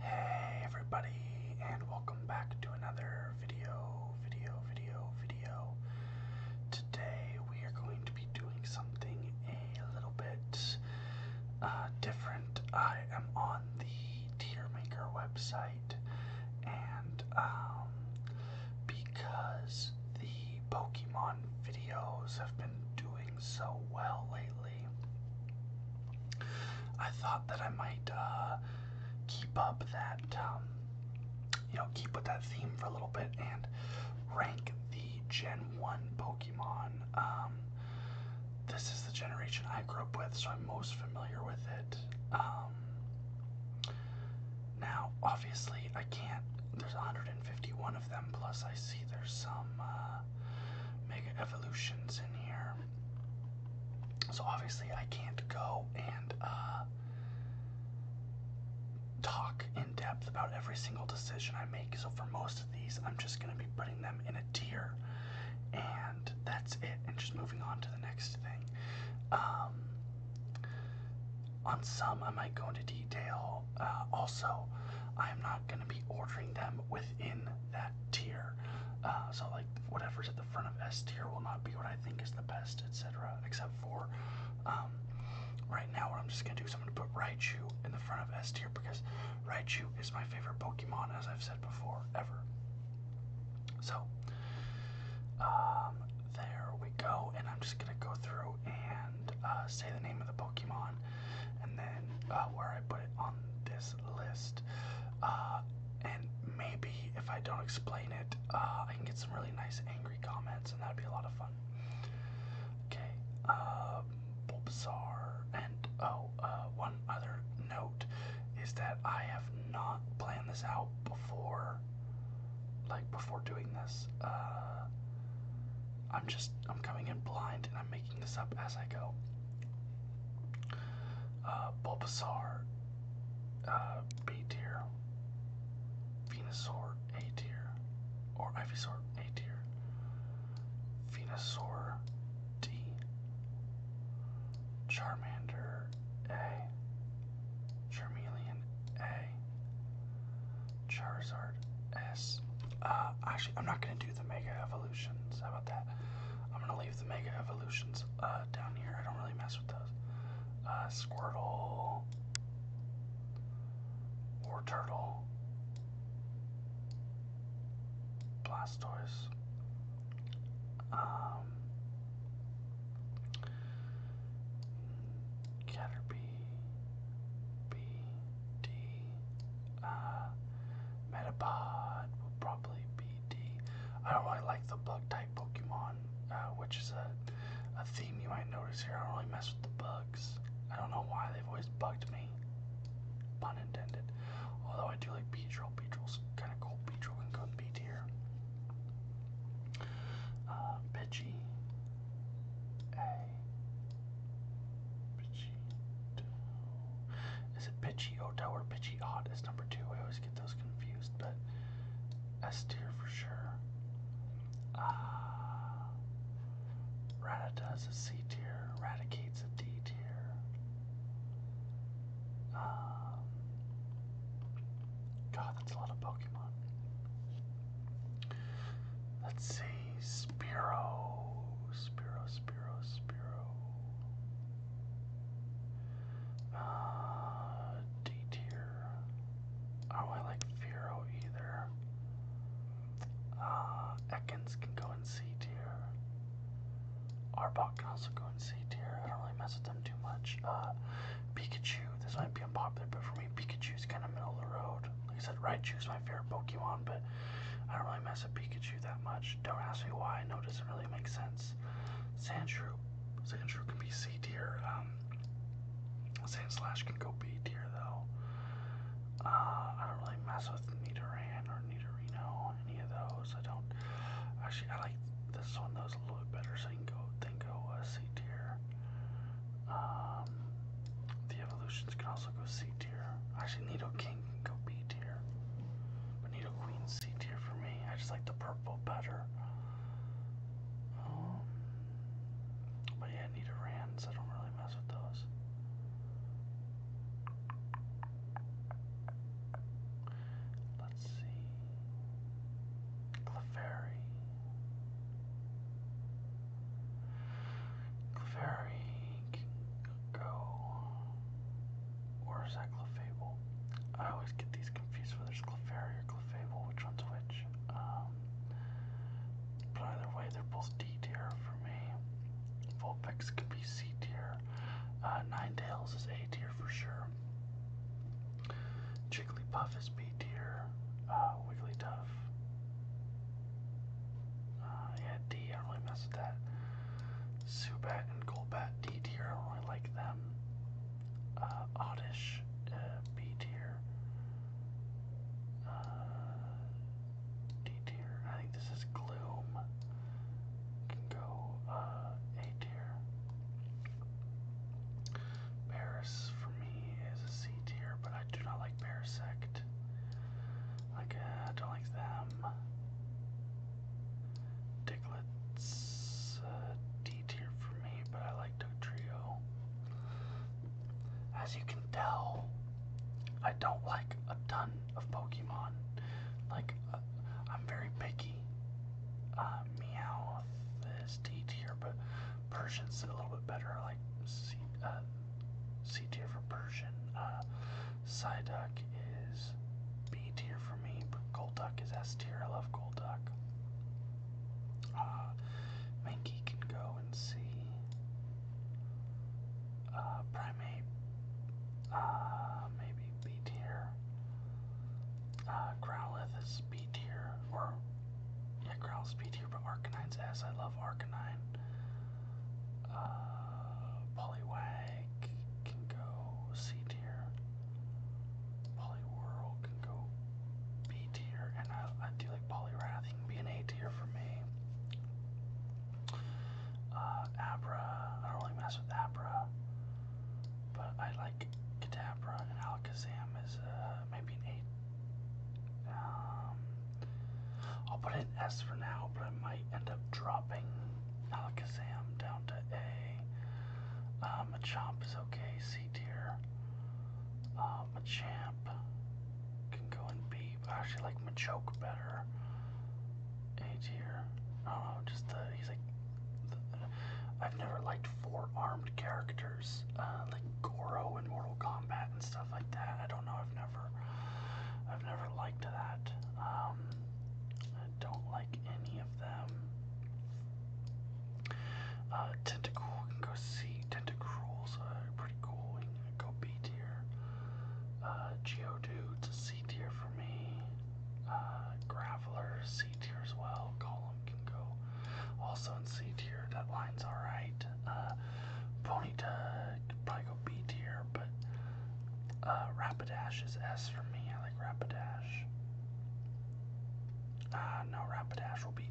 Hey everybody, and welcome back to another video, video, video, video. Today we are going to be doing something a little bit uh, different. I am on the Tier Maker website, and um, because the Pokemon videos have been doing so well lately. I thought that I might uh, keep up that, um, you know, keep with that theme for a little bit and rank the Gen 1 Pokemon. Um, this is the generation I grew up with, so I'm most familiar with it. Um, now, obviously, I can't. There's 151 of them, plus I see there's some uh, mega evolutions in here. So obviously, I can't go and uh, talk in depth about every single decision I make. So for most of these, I'm just going to be putting them in a tier, and that's it. And just moving on to the next thing. Um, on some, I might go into detail. Uh, also, I am not gonna going to be ordering them within that tier. Uh, so, like, whatever's at the front of S tier will not be what I think is the best, etc. Except for um, right now, what I'm just going to do is I'm going to put Raichu in the front of S tier because Raichu is my favorite Pokemon, as I've said before, ever. So, um, there we go, and I'm just gonna go through and uh, say the name of the Pokemon, and then uh, where I put it on this list. Uh, and maybe if I don't explain it, uh, I can get some really nice angry comments, and that'd be a lot of fun. Okay, uh, and oh, uh, other note is that I have not planned this out before, like before doing this. I'm just I'm coming in blind, and I'm this up as I go. Uh, Bulbasaur, uh, B tier. Venusaur, A tier. Or Ivysaur, A tier. Venusaur, D. Charmander, A. Charmeleon, A. Charizard, S. Uh, actually, I'm not gonna do the Mega Evolution. How about that? I'm gonna leave the mega evolutions uh, down here. I don't really mess with those. Uh, Squirtle, War Turtle, Blastoise. Um, Caterpie, B, D, uh, Metapod will probably be D. I don't really like the bug type Pokemon, uh, which is a, a theme you might notice here. I don't really mess with the bugs. I don't know why they've always bugged me. Pun intended. Although I do like Beedrill. Beedrill's kind of cool. Beedrill can go in B tier. Uh, Pidgey. A. Pidgey. Is it Bitchy Oto oh, or Bitchy Otis number two? I always get those confused, but S tier for sure. Ah. Uh, is a C tier, Eradicate's a D tier. Um, God, that's a lot of Pokemon. Let's see, Spiro, Spiro, Spiro. Spiro, Spiro. Uh, D tier. Oh, I don't really like Firo either. Uh, Ekans can go in C tier. Arbok can also go in C tier. I don't really mess with them too much. Uh, Pikachu. This might be unpopular, but for me, Pikachu's kind of middle of the road. Like I said, Raichu's my favorite Pokemon, but I don't really mess with Pikachu that much. Don't ask me why. No, it doesn't really make sense. Sandshrew. Sandshrew can be C tier. Um, Slash can go B tier, though. Uh, I don't really mess with Nidoran or Nidorino, any of those. I don't. Actually, I like this one. Those a little bit better, so you can go, then C tier. Uh, um, the evolutions can also go C tier. Actually, Nido King king can go B tier. Bonito queen C tier for me. I just like the purple better. Um, but yeah, I need a rands. I don't really mess with those. Let's see. Clefairy. Clefairy go. Or is I always get these confused whether it's Clefairy or Clefable, which one's which. Um, but either way, they're both D tier for me. Vulpix could be C tier. Uh, Nine tails is A tier for sure. Puff is B tier. Uh, Wigglytuff. Uh, yeah, D, I don't really mess with that. Subat and Golbat D tier. I really like them. Uh, Oddish uh, B tier. Uh, D tier. I think this is Gloom. Can go A tier. Paris for me is a C tier, but I do not like Parasect. Like I don't like them. Diglett's uh, D tier for me, but I like Duck Trio. As you can tell, I don't like a ton of Pokemon. Like, uh, I'm very picky. Uh, Meowth is D tier, but Persian's a little bit better. I like C, uh, tier for Persian. Psyduck is B tier for me, but Golduck is S tier. I love Golduck. Uh, Mankey can go and see. Uh, Primate, uh, maybe B tier. Uh, Growlithe is B tier, or yeah, Growlithe's B tier, but Arcanine's S. I love Arcanine. Uh, can go C tier. Poliwhirl can go B tier, and I, I do like Poliwrath. He can be an A tier for me. Uh, Abra, I don't really mess with Abra, but I like Kadabra, and Alakazam is uh, maybe an A. Um, I'll put an S for now, but I might end up dropping Alakazam down to A. Uh, Machamp is okay, C tier. Uh, Machamp can go in B. I actually like Machoke better. A tier. I don't know, just he's like, I've never liked four-armed characters, uh, like Goro in Mortal Kombat and stuff like that. I don't know, I've never, I've never liked that. Um, I don't like any of them. Uh, Tentacool, we can go see. Tentacruel's are pretty cool. We can go B tier. Uh, Geodude's a C tier for me. Uh, graveler, C tier as well. Column can go also in C tier. That line's alright. Uh, Ponyta probably go go B tier, but uh, Rapidash is S for me. I like Rapidash. Uh, no, Rapidash will be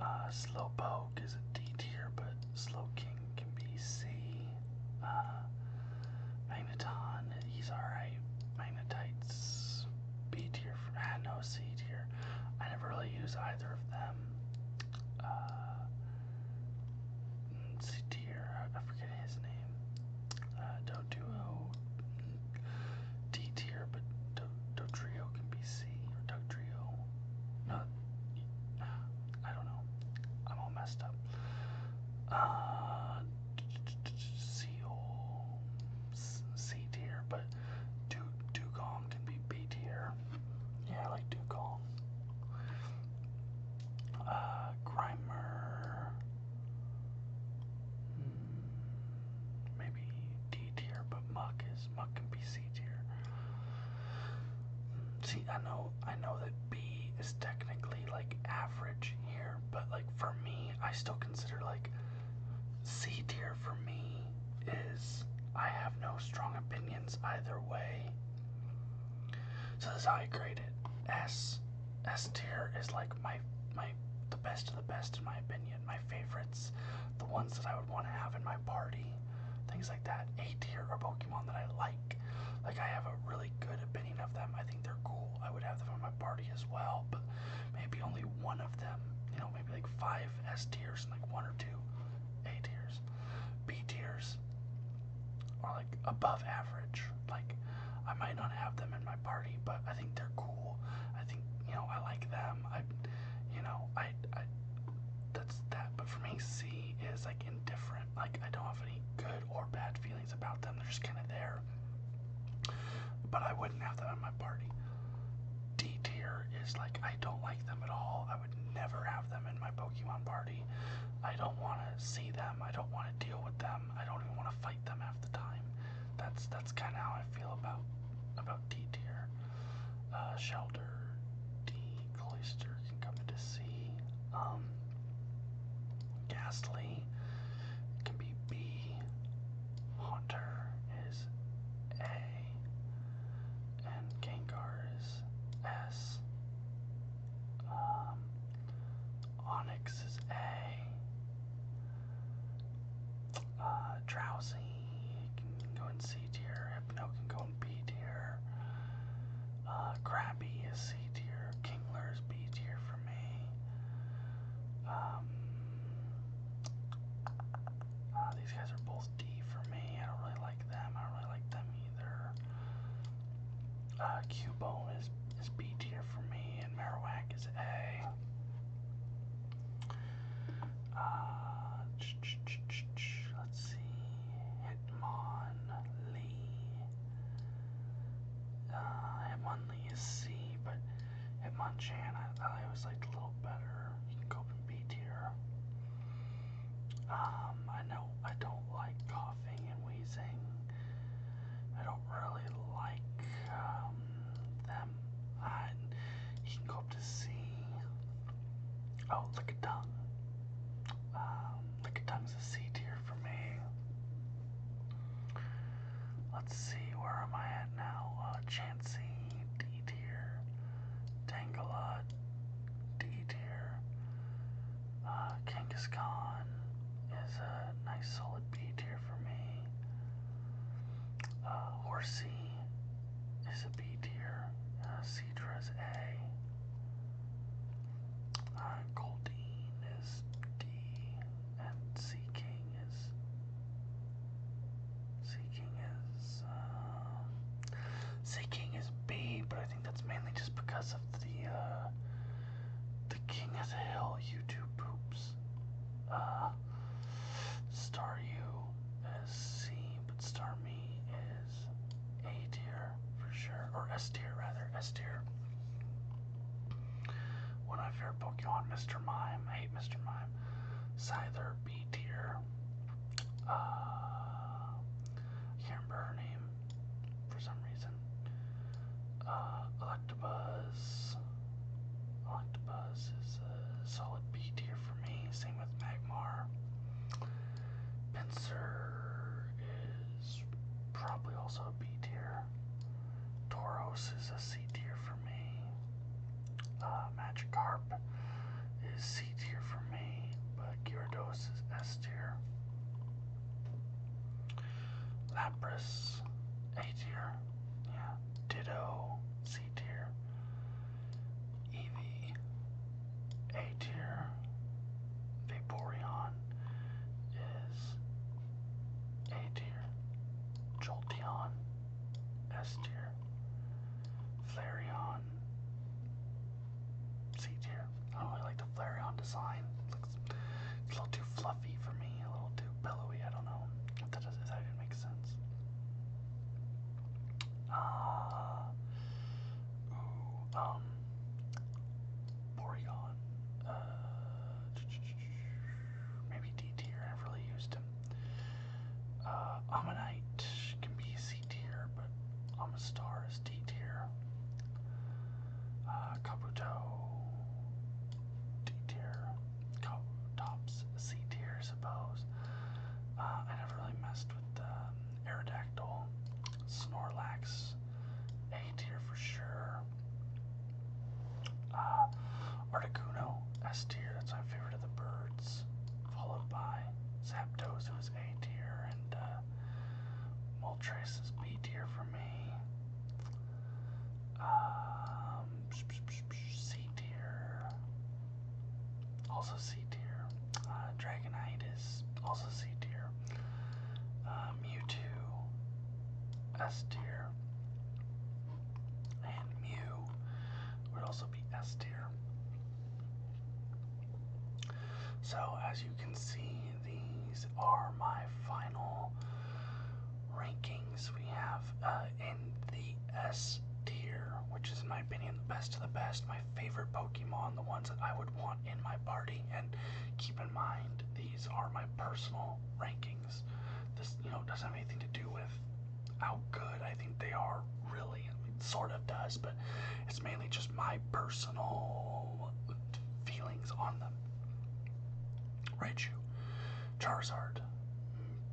A. Uh, Slowpoke is a D tier, but Slowking can be C. Uh, Magneton, he's alright. Magnetite's B tier, for, ah, no, C tier. I never really use either of them. Satir, I forget his name. Uh, Doduo, D tier, but Do trio can be C or trio. No, I don't know. I'm all messed up. Uh, C C tier, but Dugong can be B tier. Yeah, I like Dugong. Uh, Grimer. Hmm, maybe D tier, but Muck is Muck can be C tier. See, I know, I know that B is technically like average here, but like for me, I still consider like C tier for me is I have no strong opinions either way. So this is how I grade it. S. S tier is like my my the best of the best in my opinion. My favorites, the ones that I would want to have in my party, things like that. A tier are Pokemon that I like. Like I have a really good opinion of them. I think they're cool. I would have them in my party as well, but maybe only one of them. You know, maybe like five S tiers and like one or two a tiers. B tiers are like above average. Like I might not have them in my party, but I think they're cool. I think you know I like them. I you know I I that's that. But for me, C is like indifferent. Like I don't have any good or bad feelings about them. They're just kind of there. But I wouldn't have them in my party. D tier is like I don't like them at all would never have them in my Pokemon party. I don't want to see them. I don't want to deal with them. I don't even want to fight them half the time. That's that's kind of how I feel about about D tier. Uh, Shelter, D, Cloyster can come into C. Um, Ghastly can be B. Haunter is A. And Gengar is F. Um, Onyx is A. Uh, Drowsy can go in C tier. Hypno can go in B tier. Uh, Krabby is C tier. Kingler is B tier for me. Um, uh, these guys are both D for me. I don't really like them. I don't really like them either. Uh, Cubone is is B tier for me, and Marowak is A. Uh, ch -ch -ch -ch -ch. let's see, Hitmonlee. Uh, Hitmonlee is C, but Hitmonchan I, I always liked a little better. You can go up in B tier. Um, I know I don't like coughing and wheezing. I don't really like um, them. you can go up to C. Oh, lick um, a tongue. Um, lick a tongue's a C for me. Let's see, where am I at now? Uh, D tier. Tangela, D tier. Uh, Kangaskhan is a nice solid B tier for me. Uh, Horsey is a B tier. Uh, Cedra is A. Uh, Goldeen is D. And Sea King is. Sea King is. Uh, sea King is B, but I that's mainly just because of the uh, the King of the Hill YouTube poops. Uh, star U is C, but Star Me is A tier for sure, or S tier rather, S tier. When I fair Pokemon, Mr. Mime, hate Mr. Mime. Cyther B tier. Uh, I can't remember her name for some reason. Uh, Electabuzz. Electabuzz is a solid B tier for me. Same with Magmar. Pinsir is probably also a B tier. Toros is a C tier for me. Uh, Magikarp is C tier for me, but Gyarados is S tier. Lapras, A tier. Yeah. Ditto, C tier. Eevee, A tier. Vaporeon is A tier. Jolteon, S tier. Flareon, C tier. I don't really like the Flareon design. looks a little too fluffy for me, a little too billowy. I don't know if that, even makes sense. Uh, um, Boreon. Uh, maybe D tier. I've really used him. Uh, Ammonite can be C tier, but I'm a star is D tier. Uh, Kabuto, D tier. Tops, C tier, I suppose. Uh, I never really messed with um, Aerodactyl. Snorlax, A tier for sure. Uh, Articuno, S tier, that's my favorite of the birds. Followed by Zapdos, who is A tier, and uh, Moltres is B tier for me. C um, tier. Also C tier. Uh, Dragonite is also C tier. Uh, Mewtwo, S tier. And Mew would also be S tier. So, as you can see, these are my final rankings. We have uh, in the S tier, which is, in my opinion, the best of the best, my favorite Pokemon, the ones that I would want in my party. And keep in mind, these are my personal rankings. This, you know, doesn't have anything to do with how good I think they are, really. I sort of does, but it's mainly just my personal feelings on them. Raichu, Charizard,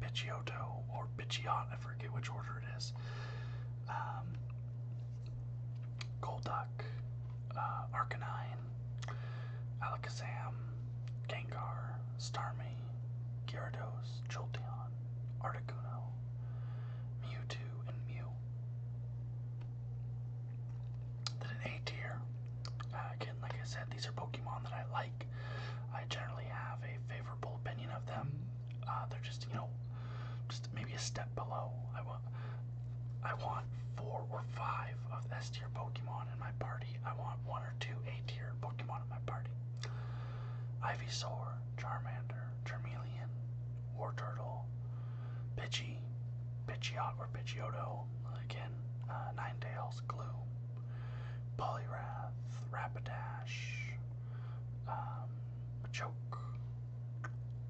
Pidgeotto, or Pidgeot, I forget which order it is. Um, Golduck, uh, Arcanine, Alakazam, Gengar, Starmie, Gyarados, Jolteon, Articuno, Mewtwo, and Mew. Then an A tier. Uh, again, like I said, these are Pokemon that I like. I generally have a favorable opinion of them. Uh, they're just, you know, just maybe a step below. I want, I want four or five of S tier Pokemon in my party. I want one or two A tier Pokemon in my party. Ivysaur, Charmander, Charmeleon, War Turtle, Pidgey, Pidgeot or Pidgeotto, again, uh, Nine Tails, Gloom, Poliwrath, Rapidash, um, Machoke,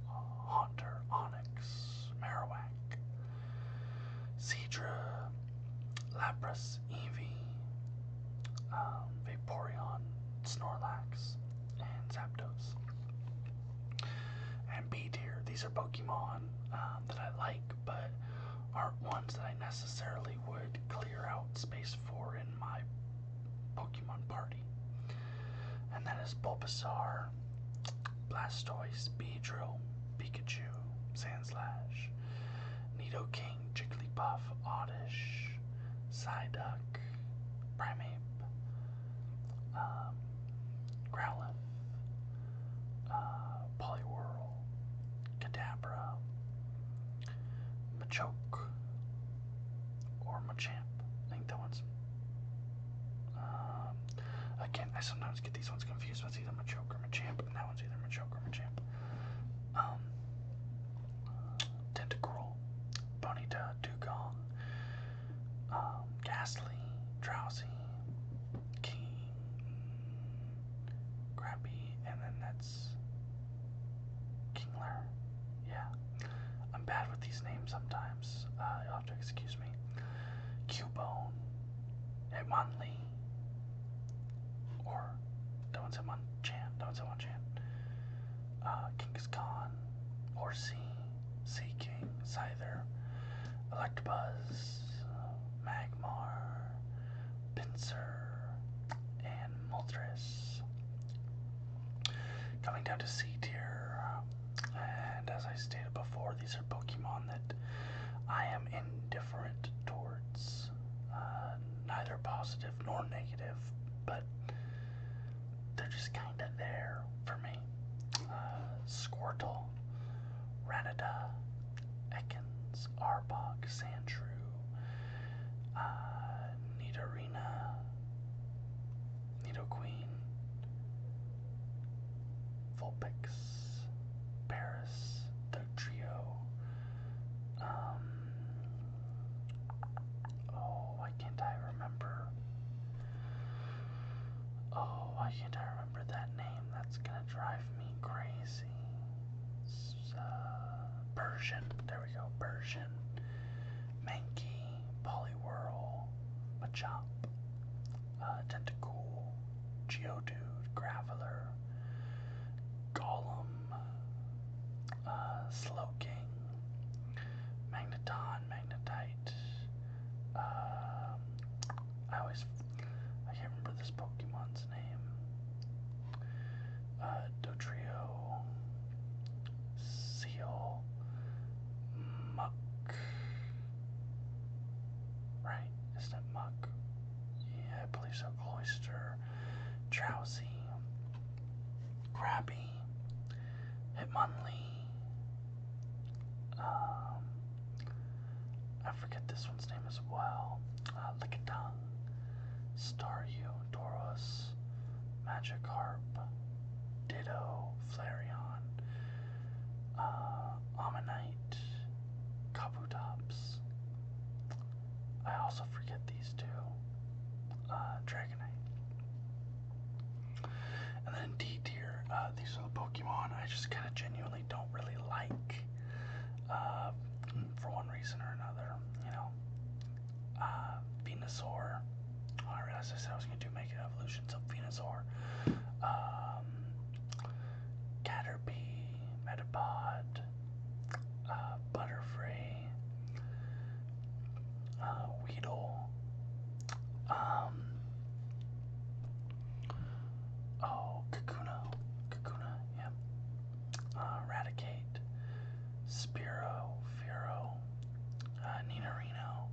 uh, Haunter, Onyx, Marowak, Seedra, Lapras, Eevee, um, Vaporeon, Snorlax, and Zapdos and B tier. These are Pokemon um, that I like, but aren't ones that I necessarily would clear out space for in my Pokemon party. And that is Bulbasaur, Blastoise, Beedrill, Pikachu, Sandslash, Nidoking, Jigglypuff, Oddish, Psyduck, Primeape, um, Growlithe, uh, Poliwhirl, Kadabra, Machoke, or Machamp. I think that one's. Um, again, I sometimes get these ones confused. It's either Machoke or Machamp, and that one's either Machoke or Machamp. Um, Tentacruel, Bonita, Dugong, um, ghastly, drowsy, keen, and then that's Kingler. Yeah, I'm bad with these names sometimes. Uh, excuse me. Cubone, Hitmonlee, or that one's Hitmonchan, that one's Hitmonchan, uh, King's Khan, Horsey. Seaking, Cyther, Electabuzz, Magmar, Pinsir, and Moltres. Coming down to C tier, and as I stated before, these are Pokemon that I am indifferent towards, uh, neither positive nor negative, but they're just kind of there for me. Uh, Squirtle, Rattata, Ekans, Arbok, Sandshrew, uh, Nidorina, Nidoqueen, Vulpix, Paris, the trio. Um, oh, why can't I remember? Oh, why can't I remember that name? That's gonna drive me crazy. Uh, Persian. There we go. Persian. Mankey. Poliwhirl. Machop. Uh, Tentacool. Geodude. Graveler. Gollum. Uh, Slow King. Magneton, Magnetite. Um, I always, I can't remember this Pokemon's name. Uh, Dotrio, Seal, Muck. Right, isn't Muck? Yeah, I believe so. Cloister, Drowsy, Crabby. Hitmonlee. Um, I forget this one's name as well. Uh, Lickitung, Staryu, Doros, Magikarp, Ditto, Flareon, uh, Ammonite, Kabutops. I also forget these two. Uh, Dragonite. And then D tier, uh, these are the Pokemon I just kind of genuinely don't really like uh, for one reason or another. You know, uh, Venusaur. Oh, I realized I said I was going to make an evolution, so Venusaur. Um, Caterpie, Metapod, Butterfree, uh, Weedle. Um, oh, Kakuna. Kakuna, yeah. Uh, Raticate. Spiro. Firo. Uh, Ninarino.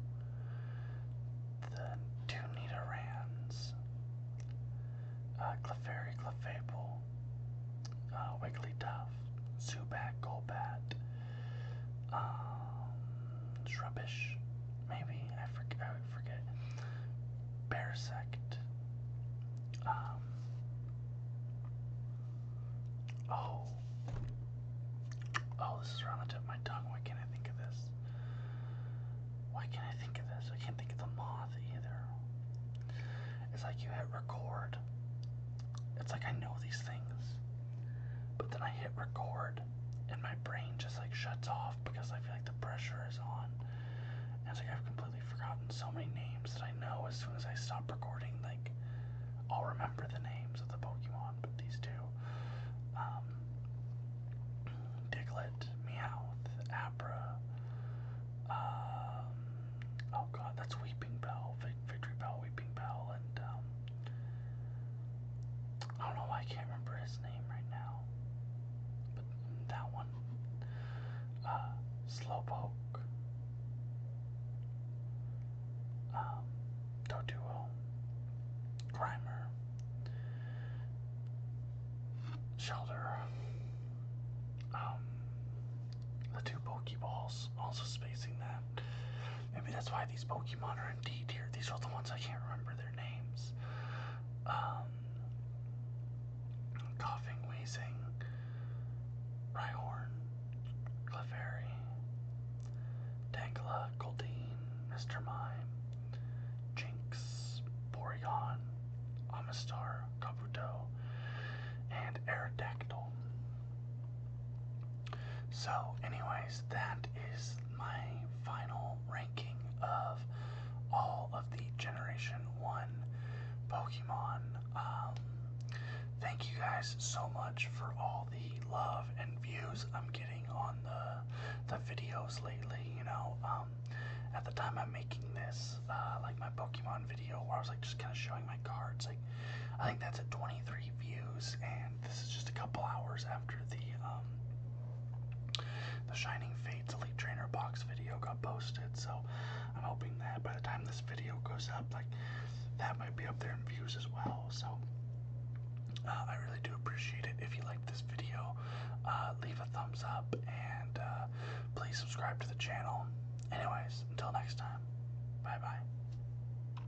The two Uh, Clefairy, Clefable. Uh, Wigglytuff. Zubat, Golbat um, maybe I forget. I forget. Parasect. Um, oh. Oh, this is around the my tongue. Why can't I think of this? Why can't I think of this? I can't think of the moth either. It's like you hit record. It's like I know these things. But then I hit record and my brain just like shuts off because I feel like the pressure is on. And it's like I've completely forgotten so many names that I know as soon as I stop recording, like I'll remember the names of the Pokemon, but these two. Um Diglett, Meowth, Abra, um, oh god, that's Weeping Bell, Victory Bell, Weeping Bell, and um, I don't know why I can't remember his name right now. But that one. Uh, Slowpoke. Um, Doduo. Grimer. Shelter. Um, the two Pokeballs, also spacing that. Maybe that's why these Pokemon are in D tier. These are the ones I can't remember their names. Um, coughing, wheezing, Rhyhorn, Clefairy, Tangela, Goldeen, Mr. Mime, Jinx, Porygon, Amistar, Kabuto, and Aerodactyl. So, anyways, that is my final ranking of all of the Generation 1 Pokemon. Um, thank you guys so much for all the love and views I'm getting on the, the videos lately, you know. Um, at the time I'm making this, uh, like my Pokemon video where I was like just kind of showing my cards, like I think that's at 23 views and this is just a couple hours after the um, the Shining Fates Elite Trainer box video got posted. So I'm hoping that by the time this video goes up, like that might be up there in views as well. So. Uh, I really do appreciate it. If you liked this video, uh, leave a thumbs up and uh, please subscribe to the channel. Anyways, until next time, bye bye.